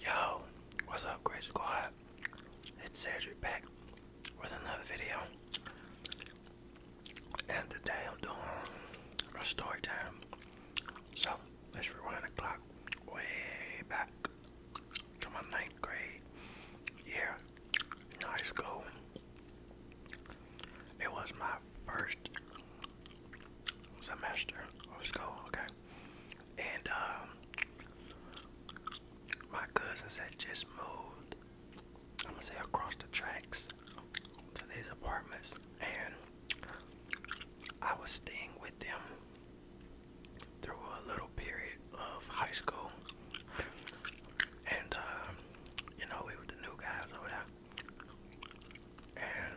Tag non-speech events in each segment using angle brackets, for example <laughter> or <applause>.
Yo, what's up, Great Squad? It's Cedric back with another video, and today I'm doing a story time. So let's rewind the clock way back to my ninth grade year Nice go. It was my first semester of school, And um, my cousins had just moved, I'm gonna say across the tracks to these apartments, and I was staying with them through a little period of high school, and uh, you know we were the new guys over there, and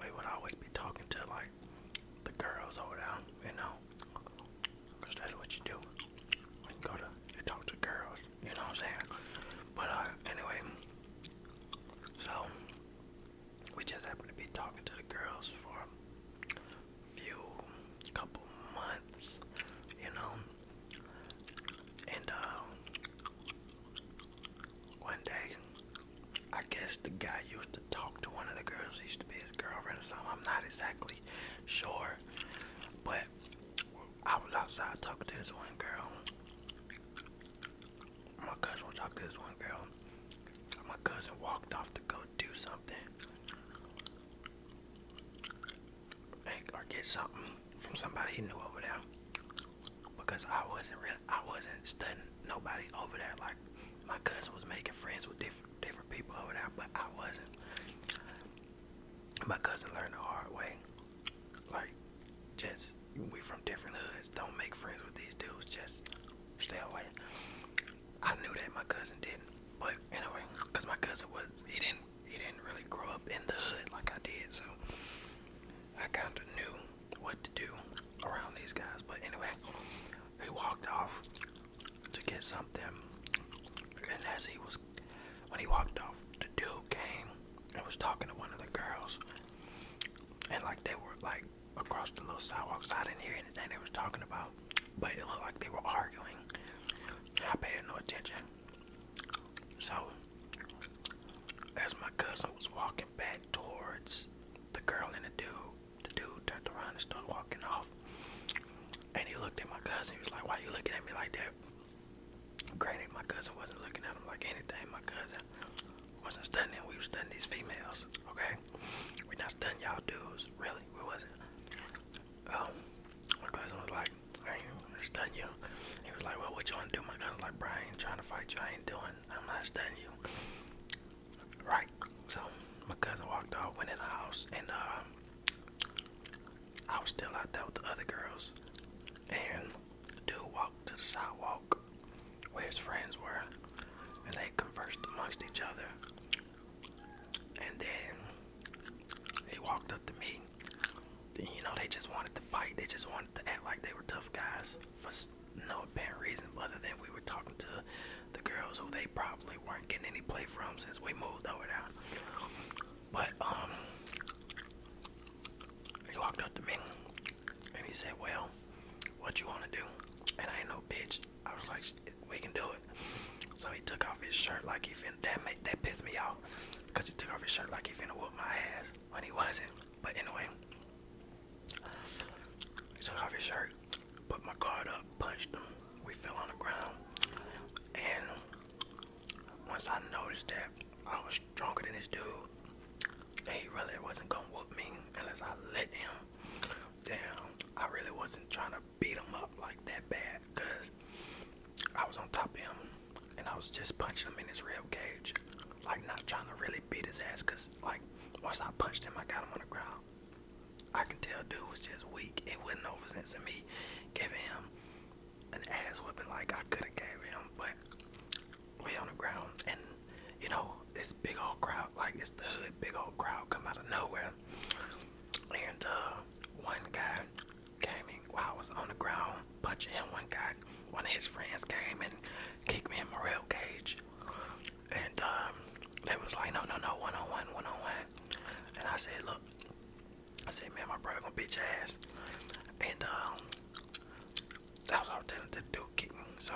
we would always be talking to like the girls over there, you know, cause that's what you do. You go to you talk to girls, you know what I'm saying? But uh, anyway, so we just happened to be talking to the girls for few couple months, you know. And uh, one day, I guess the guy used to talk to one of the girls. He used to be his girlfriend or something. I'm not exactly sure, but I was outside talking to this one girl. My cousin was talking to this one girl. My cousin walked off to go do something or get something from somebody he knew over there because I wasn't really I wasn't studying nobody over there like my cousin was making friends with different different people over there but I wasn't my cousin learned the hard way like just we from different hoods don't make friends with these dudes just stay away I knew that my cousin didn't, but anyway, cause my cousin was he didn't he didn't really grow up in the hood like I did, so I kind of knew what to do around these guys. But anyway, he walked off to get something, and as he was when he walked off, the dude came and was talking to one of the girls, and like they were like across the little sidewalks. I didn't hear anything they was talking about but it looked like they were arguing. I paid it no attention. So, as my cousin was walking back towards the girl and the dude, the dude turned around and started walking off. And he looked at my cousin. He was like, "Why you looking at me like that?" Granted, my cousin wasn't looking at him like anything. My cousin wasn't stunning. We was stunning these females, okay? We not stunning y'all dudes, really. We was it? Um, my cousin was like, I ain't gonna stun you. He was like, Well, what you wanna do? My cousin was like, Bro, I ain't trying to fight you. I ain't doing, I'm not stunning you. Right. So my cousin walked off, went in the house, and um, I was still out there with the other girls. And the dude walked to the sidewalk where his friends were, and they conversed amongst each other. And then they walked up to me. You know, they just wanted to fight. They just wanted to act like they were tough guys for no apparent reason other than we were talking to the girls who they probably weren't getting any play from since we moved over there. But um, he walked up to me and he said, "Well, what you wanna do?" And I ain't no bitch. I was like, we can do it. So he took off his shirt like he finna. That made that pissed me off, cause he took off his shirt like he finna whoop my ass when he wasn't. But anyway, he took off his shirt, put my guard up, punched him. We fell on the ground, and once I noticed that I was stronger than this dude, he really wasn't gonna whoop me unless I let him. down. I really wasn't trying to beat him up like that bad because I was on top of him and I was just punching him in his rib cage. Like not trying to really beat his ass because like once I punched him I got him on the ground. I can tell dude was just weak. It wasn't over since me giving him an ass whipping like I could have gave him, but way on the ground and you know, this big old crowd, like it's the hood, big old crowd come out of nowhere. And uh, one guy came in I was on the ground punching him. One guy, one of his friends came and kicked me in my rail cage. And um, they was like, no, no, no, one on one, one on one. And I said, look, I said, man, my brother gonna bitch ass. And um, that was all I was telling to do. Kick kicking. So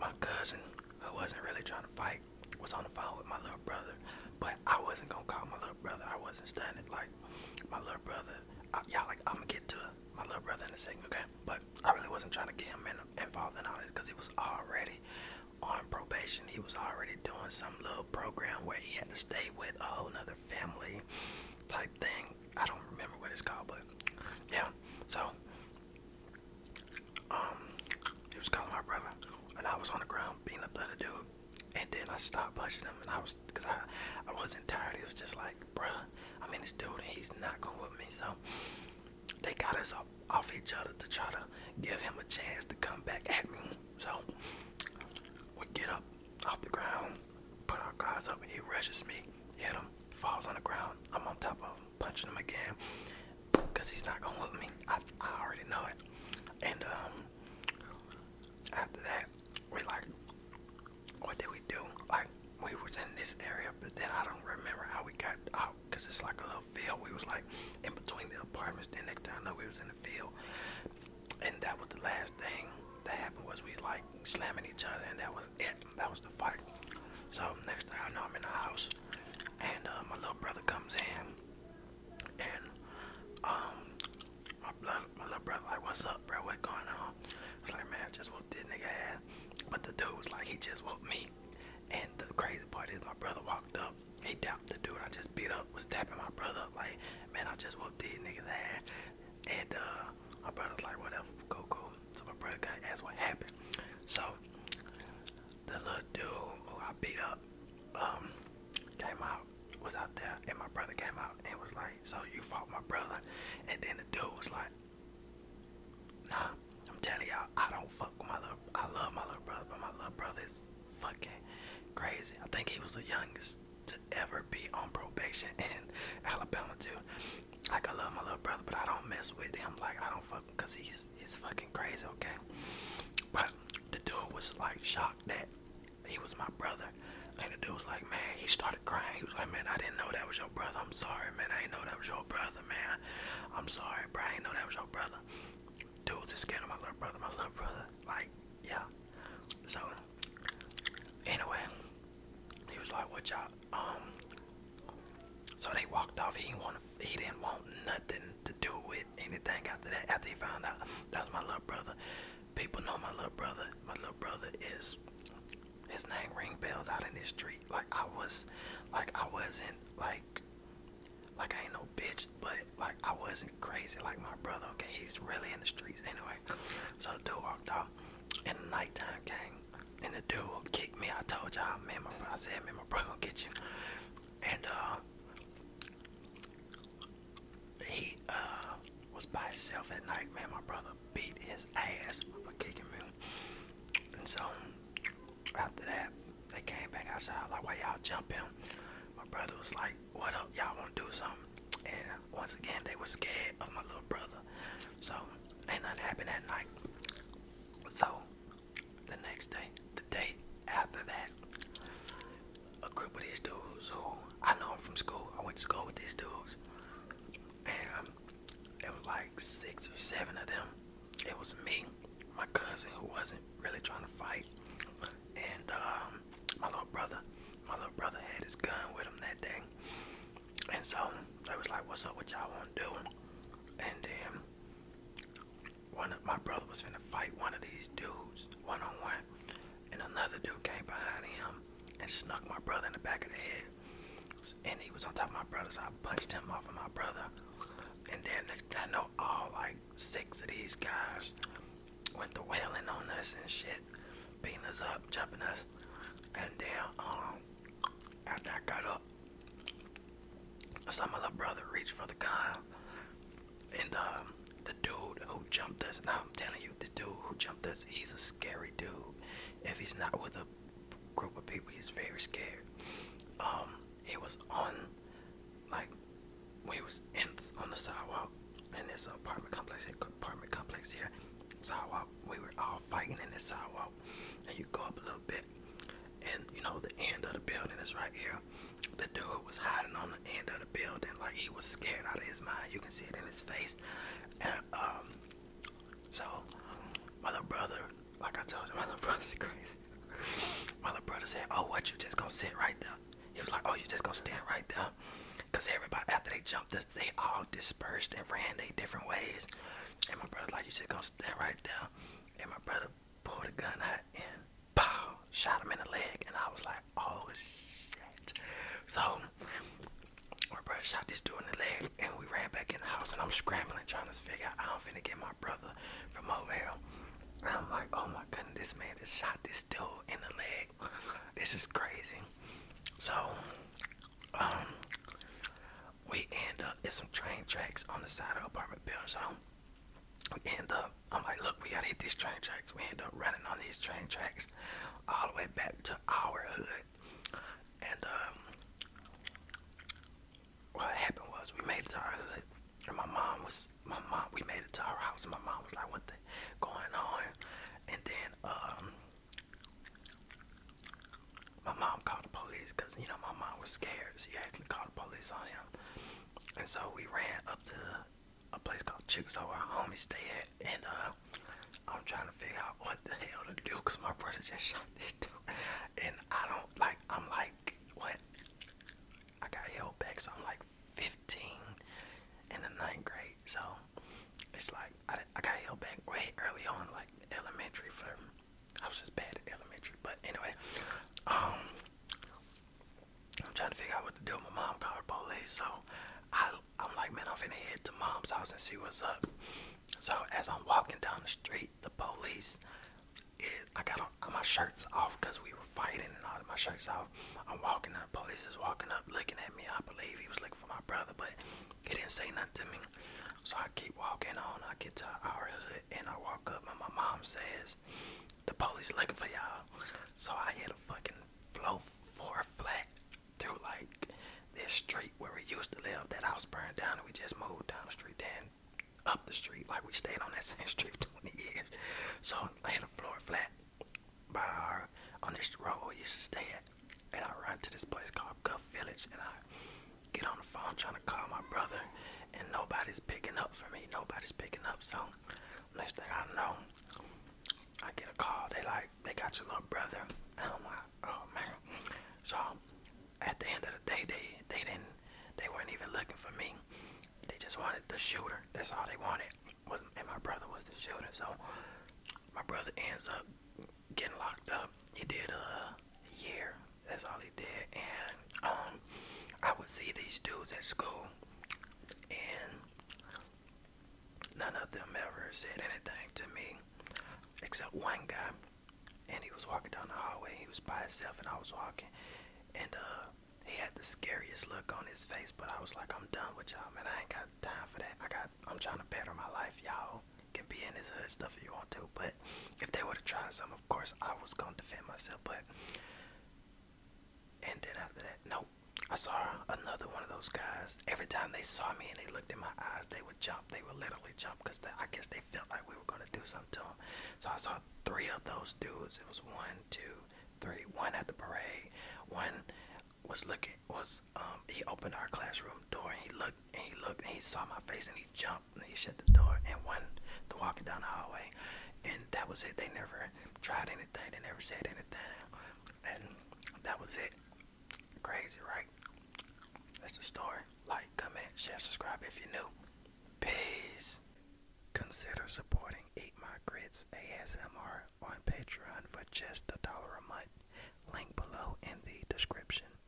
my cousin, who wasn't really trying to fight, like was on the phone with my little brother, but I wasn't gonna call my little brother. I wasn't standing like my little brother. Y'all like I'm gonna get to my little brother in a second, okay? But I really wasn't trying to get him involved in all this because he was already on probation. He was already doing some little program where he had to stay with a whole nother family type thing. I don't remember what it's called, but yeah. So um, he was calling my brother, and I was on the ground beating the other dude. And then I stopped punching him, and I was, cause I, I wasn't tired. It was just like, bruh, I mean, this dude, he's not going with me. So they got us off each other to try to give him a chance to come back at me. So we get up off the ground, put our guys up. He rushes me, hit him, falls on the ground. I'm on top of him punching him again because he's not gonna whoop me. I, already know it. And um, after that, we like, what did we do? Like, we was in this area, but then I don't remember how we got out because it's like a little field. We was like in between the apartments. Then next time I know we was in the field, and that was the last thing that happened was we like slamming each other, and that was it. That was the fight. So next time I know, I'm in the house and uh, my little brother comes in, and um, my blood, my little brother like, "What's up, bro? What going on?" I was like, "Man, I just whooped this nigga ass," but the dude was like, "He just whooped me," and the crazy part is my brother walked up. He tapped the dude I just beat up, was tapping my brother like, man, I just whooped these niggas ass. And uh, my brother's like, whatever, go, cool, cool. So my brother got asked what happened. So the little dude who I beat up um, came out was out there and my brother came out and was like, So you fought my brother and then the dude was like Nah, I'm telling y'all, I don't fuck with my little I love my little brother, but my little brother is fucking crazy. I think he was the youngest to ever be on probation <laughs> in Alabama too. Like I love my little brother, but I don't mess with him. Like I don't fuck because he's is fucking crazy, okay? But the dude was like shocked that he was my brother. And the dude was like, man, he started crying. He was like, man, I didn't know that was your brother. I'm sorry, man. I didn't know that was your brother, man. I'm sorry, bro. I didn't know that was your brother. Dude was scared of my little brother. My little brother, like, yeah. So, anyway, he was like, what y'all, um, so they walked off. He didn't want. He didn't want nothing to do with anything after that. After he found out that was my little brother, people know my little brother. My little brother is. His name ring bells out in the street. Like I was, like I wasn't like, like I ain't no bitch, but like I wasn't crazy like my brother. Okay, he's really in the streets anyway. So the walked off in the nighttime, gang. And the dude kicked me. I told y'all, man, my bro, I said, man, my brother gonna get you and uh, he uh, was by himself at night. Man, my brother beat his ass for kicking me, and so after that, they came back outside. Like, why y'all jumping? My brother was like, "What up? Y'all want to do something?" And once again, they were scared of my little brother. So ain't nothing happened that night. So the next day, the day after that, a group of these dudes who I know from school, I went to school with these dudes, and it um, was like six or seven of them. It was me, my cousin who wasn't really trying to fight, and um, my little brother. My little brother had his gun with him that day, and so they was like, "What's up? with y'all want to do?" And then one of my brother was finna fight one of these dudes one on one, and another dude came behind him and snuck my brother in the back of the head. And he was on top of my brother, so I punched him off of my brother. And then next, I know all like six of these guys went to wailing on us and shit, beating us up, jumping us. And then um, after I got up, some other brother reached for the gun, and um, the dude who jumped us. Now I'm telling you, this dude who jumped us, he's a scary dude. If he's not with a group of people, he's very scared. Um, he was on, like, we was on the sidewalk in this apartment complex. Apartment complex here. Sidewalk. We were all fighting in this sidewalk, and you go up a little bit and you know, the end of the building is right here. The dude was hiding on the end of the building, like he was scared out of his mind. You can see it in his face. And um, so my little brother, like I told you, <laughs> my little brother's crazy. my little brother said, "Oh, what? You just gonna sit right there?" He was like, "Oh, you just gonna stand right there?" Cause everybody after they jumped they all dispersed and ran their different ways. And my brother like, "You just gonna stand right there?" And my brother pulled a gun out and pow, shot him in the leg. And I was like, oh shit. So my brother shot this dude in the leg and we ran back in the house and I'm scrambling trying to figure out how I'm finna get my brother from over here. I'm like, oh my god! this man just shot this dude in the leg. This is crazy. So, um, we end up it's some train tracks on the side of the apartment building so we end up i'm like look we gotta hit these train tracks we end up running on these train tracks all the way back to our hood and um what happened was we made it to our hood and my mom was my mom we made it to our house and my mom was like what the going on and then um my mom called the police because you know my mom was scared. She actually called the police on him, and so we ran up to a place called Chick's, where our homies stay at. And uh, I'm trying to figure out what the hell to do because my brother just shot <laughs> this dude, and I don't like. I'm like, what? I got held back, so I'm like 15 in the ninth grade. So it's like I, I got held back way early on, like elementary for I was just bad at elementary. But anyway, um, I'm trying to figure out what to do. with My mom called police, so I, I'm like, man, I'm finna head to mom's house and see what's up. So as I'm walking down the street, the police, I got on, my shirts off because we were fighting and all of my shirts off. I'm walking up, police is walking up, looking at me. I believe he was looking for my brother, but he didn't say nothing to me. So I keep walking on. I get to our hood and I walk up and my mom says, the police looking for y'all. So I hit a fucking flow for a flat through like this street where we used to live. That house burned down and we just moved down the street then up the street. Like we stayed on that <laughs> same street for 20 years. So I hit a floor flat by our, on this road we used to stay at. And I run to this place called Guff Village and I get on the phone trying to call my brother, and nobody's picking up for me. Nobody's picking up. So next thing I know, I get a call. They like they got your little brother. Oh my! oh man. So at the end of the day, they they didn't they weren't even looking for me. They just wanted the shooter. That's all they wanted. Was and my brother was the shooter. So my brother ends up getting locked up. He did a year that's all he did. And um, I would see these dudes at school, and none of them ever said anything to me, except one guy. And he was walking down the hallway. He was by himself, and I was walking, and uh, he had the scariest look on his face. But I was like, I'm done with y'all, man. I ain't got time for that. I got. I'm trying to better my life, y'all can be in his hood stuff if you want to. But if they would have tried some, of course I was gonna defend myself. But and then after that, no, I saw another one of those guys. Every time they saw me and they looked in my eyes, they would jump. They would literally jump because I guess they felt like we were gonna do something to them. So I saw three of those dudes. It was one, two, three. One at the parade. One was looking was um he opened our classroom door and he looked and he looked and he saw my face and he jumped and he shut the door and went to walking down the hallway and that was it they never tried anything they never said anything and that was it crazy right that's the story like comment share subscribe if you're new peace consider supporting eat my grits asmr on patreon for just a dollar a month link below in the description